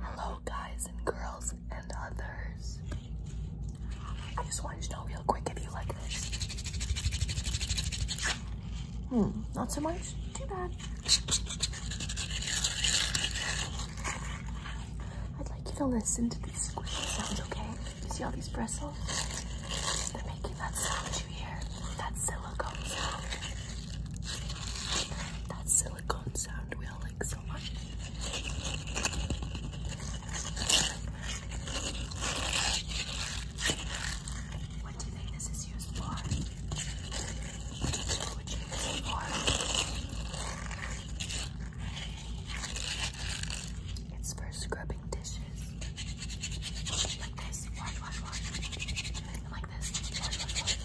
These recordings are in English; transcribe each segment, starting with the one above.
Hello guys and girls and others. I just wanted to know real quick if you like this. Hmm, not so much? Too bad. I'd like you to listen to these squeaky sounds, okay? You see all these bristles? They're making that sound you hear. That silicone sound. That silicone sound building so much. What do you this is used for? It's for scrubbing dishes. Like this. like this.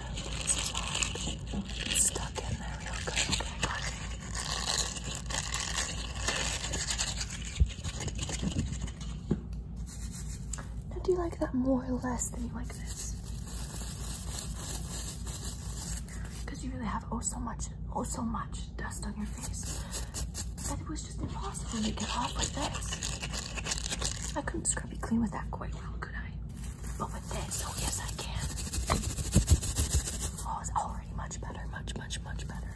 stuck in there real good. Now, do you like that more or less than you like this? Because you really have oh so much, oh so much dust on your face that it was just impossible to get off like this. I couldn't scrub it clean with that quite well, could I? But with this, oh yes I can. Oh, it's already much better, much, much, much better.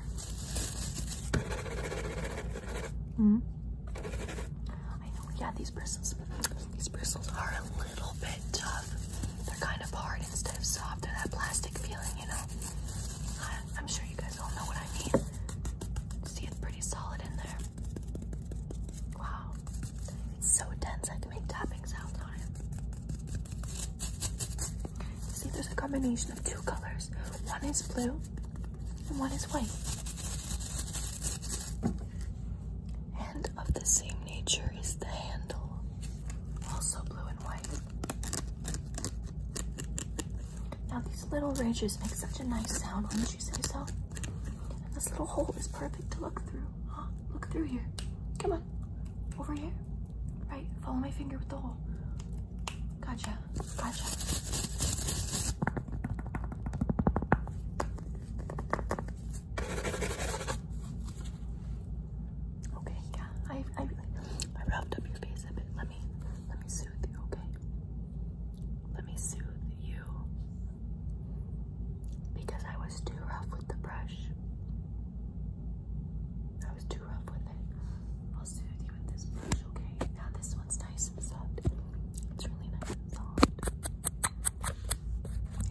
hmm. I know, yeah, these bristles, these bristles are a little bit tough. They're kind of hard instead of soft, they that plastic feeling, you know. I, I'm sure you guys all know what I mean. See, it's pretty solid in there. Wow, it's so dense. I can make tapping sounds. See, there's a combination of two colors. One is blue and one is white. And of the same nature is the handle, also blue and white. Now these little ridges make such a nice sound, wouldn't you say so? this little hole is perfect to look through. Huh? Look through here. Come on. Over here. Right. Follow my finger with the hole. Gotcha. Gotcha. Okay, yeah. I I I up your face a bit. Let me let me soothe you, okay? Let me soothe you because I was too rough with the brush. I was too rough with it. I'll soothe you with this brush, okay? Now this one's nice and soft. It's really nice and soft.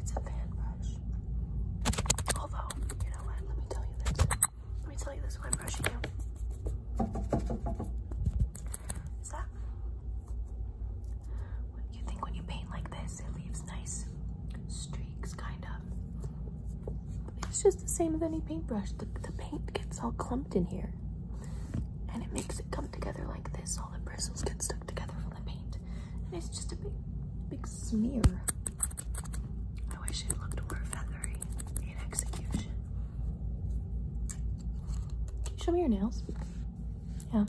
It's a fan brush. Although, you know what? Let me tell you this. Let me tell you this when I'm brushing you. Is that what you think when you paint like this? it leaves nice streaks, kind of. It's just the same as any paintbrush. The, the paint gets all clumped in here and it makes it come together like this. All the bristles get stuck together from the paint and it's just a big, big smear. I wish it looked more feathery in execution. Can you show me your nails? Yeah.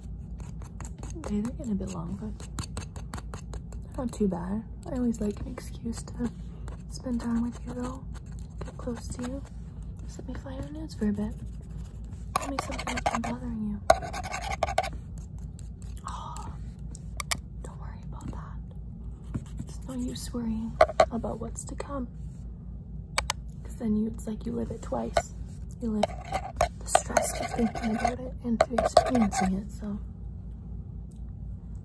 Okay, they're getting a bit long, but not too bad. I always like an excuse to spend time with you though. Get close to you. Just let me fly your nose for a bit. Tell me something that's been bothering you. Oh, don't worry about that. It's no use worrying about what's to come. Cause then it's like you live it twice. You live the stress of thinking about it and through experiencing it. So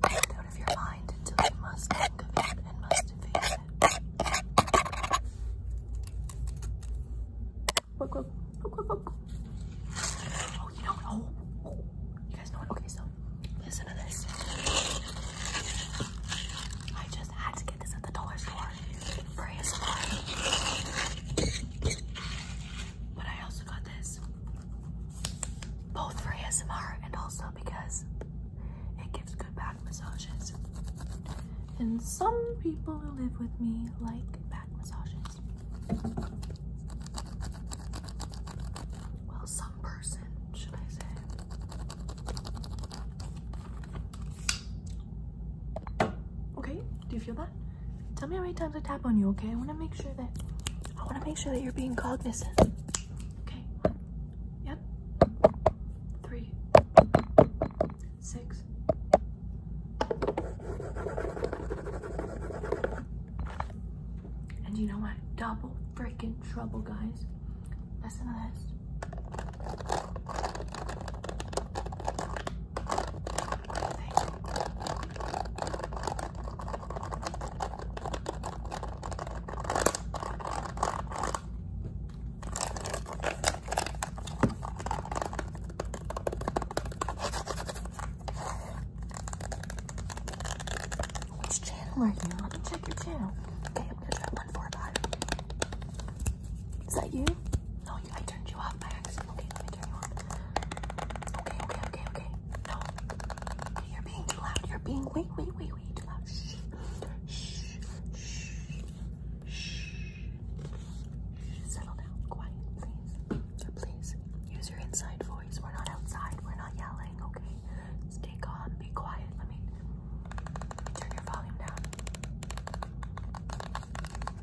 out of your mind until you must think and must face it. Oh, you don't know. you guys know Okay, so listen to this. I just had to get this at the dollar store for ASMR. But I also got this both for ASMR and also because it gives good back massages. And some people who live with me like back massages. Well, some person, should I say. Okay, do you feel that? Tell me how many times I tap on you, okay? I wanna make sure that I wanna make sure that you're being cognizant. Okay. Yep. Three. Six. And you know what? Double freaking trouble, guys. Listen to this clothing. Which channel are you? Let me check your channel. Okay, I'm gonna try one four five. Is that you? No, you, I turned you off by accident. Okay, let me turn you on. Okay, okay, okay, okay. No. Okay, you're being too loud. You're being way, way, way, way too loud. Shh. Shh. Shh. Shh. Settle down. Quiet, please. Please. Use your inside voice. We're not outside. We're not yelling, okay? Stay calm. Be quiet. Let me, let me turn your volume down.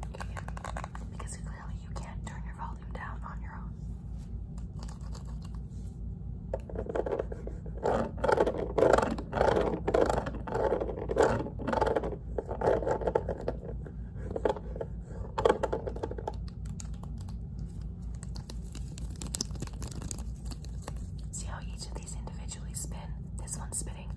Okay, yeah. Because you can't turn your volume down on your own. See how each of these individually spin? This one's spinning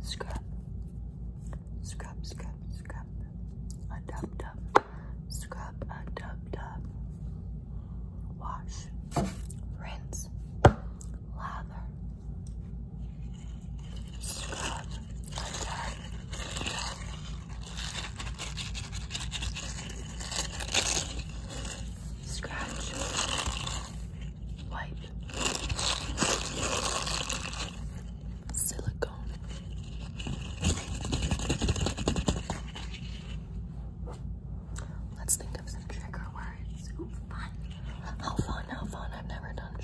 Scrub, scrub, scrub, scrub, a dub dub, scrub, a dub dub, wash, rinse, lather, scrub Scratch, wipe, silicone, let's think of some trigger words, how fun, how fun, I've never done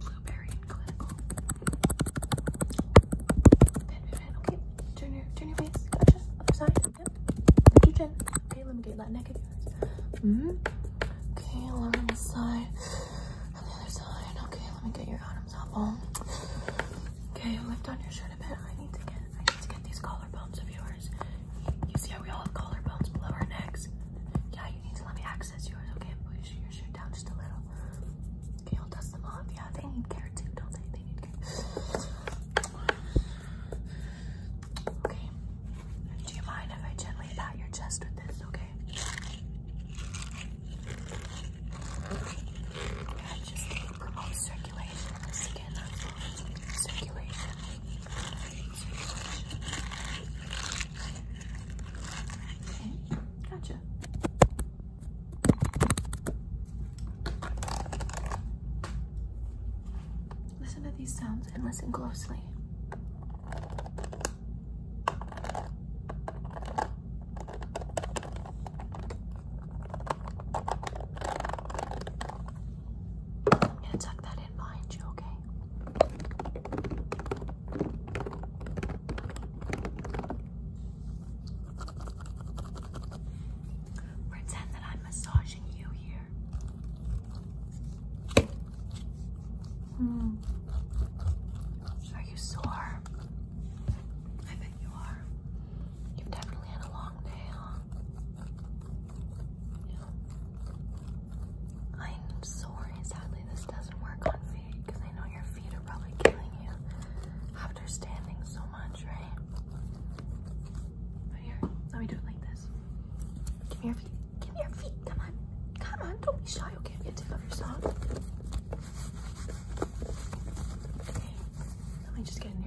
Blueberry and clinical. Pen, pen, Okay, turn your, turn your face. Gotcha. side. Yep. Lift your Okay, let me get that neck of -hmm. Okay, lower on this side. On the other side. Okay, let me get your bottoms up um, Okay, lift on your shirt a bit. I need to get, I need to get these collarbones of yours. You see how we all have collarbones below our necks? Yeah, you need to let me access that's yours. Okay, push your shirt down just a little. Okay, I'll dust them off. Yeah, they need care too, don't they? They need care. Okay. Do you mind if I gently pat your chest with this? Okay. Listen to these sounds and listen closely. I'm gonna tuck that in behind you, okay? Pretend that I'm massaging you here. Mm. Are you sore? I bet you are. You've definitely had a long day, huh? I'm sorry, sadly this doesn't work on feet because I know your feet are probably killing you after standing so much, right? here, let me do it like this. Give me your feet. Give me your feet. Come on. Come on. Don't be shy. Okay, i take off your sock. Okay, let me just get in here.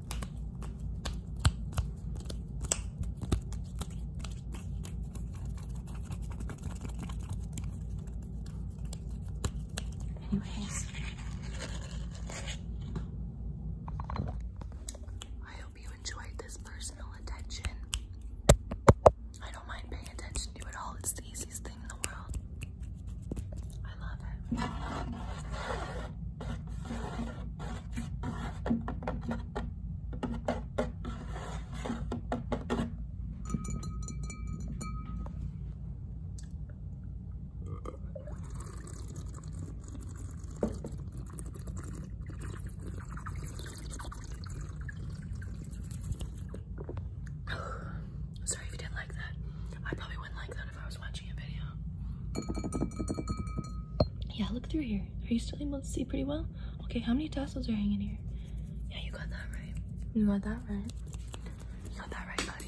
Anyways, I hope you enjoyed this personal attention. I don't mind paying attention to it all, it's the easiest thing in the world. I love it. Sorry if you didn't like that. I probably wouldn't like that if I was watching a video. Yeah, look through here. Are you still able to see pretty well? Okay, how many tassels are hanging here? Yeah, you got that right. You got that right. You got that right, buddy.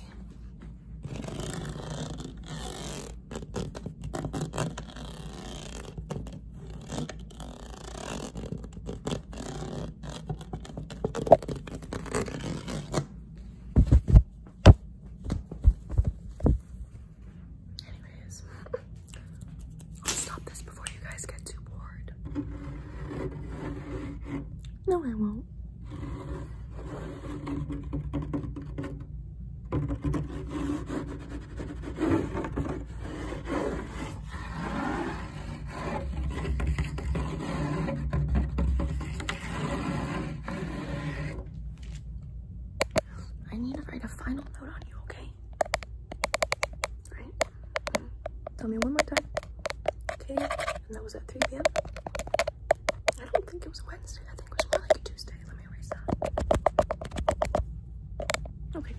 Anyways, I'll stop this before you guys get too bored. No, I won't. I need to write a final note on you, okay? Right? Mm-hmm. Tell me one more time. Okay, and that was at 3 p.m. I don't think it was Wednesday. I think it was more like a Tuesday. Let me erase that. Okay,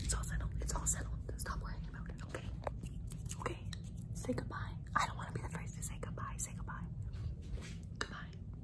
it's all settled. It's all settled. Stop worrying about it, okay? Okay, say goodbye. I don't want to be the first to say goodbye. Say goodbye. Goodbye.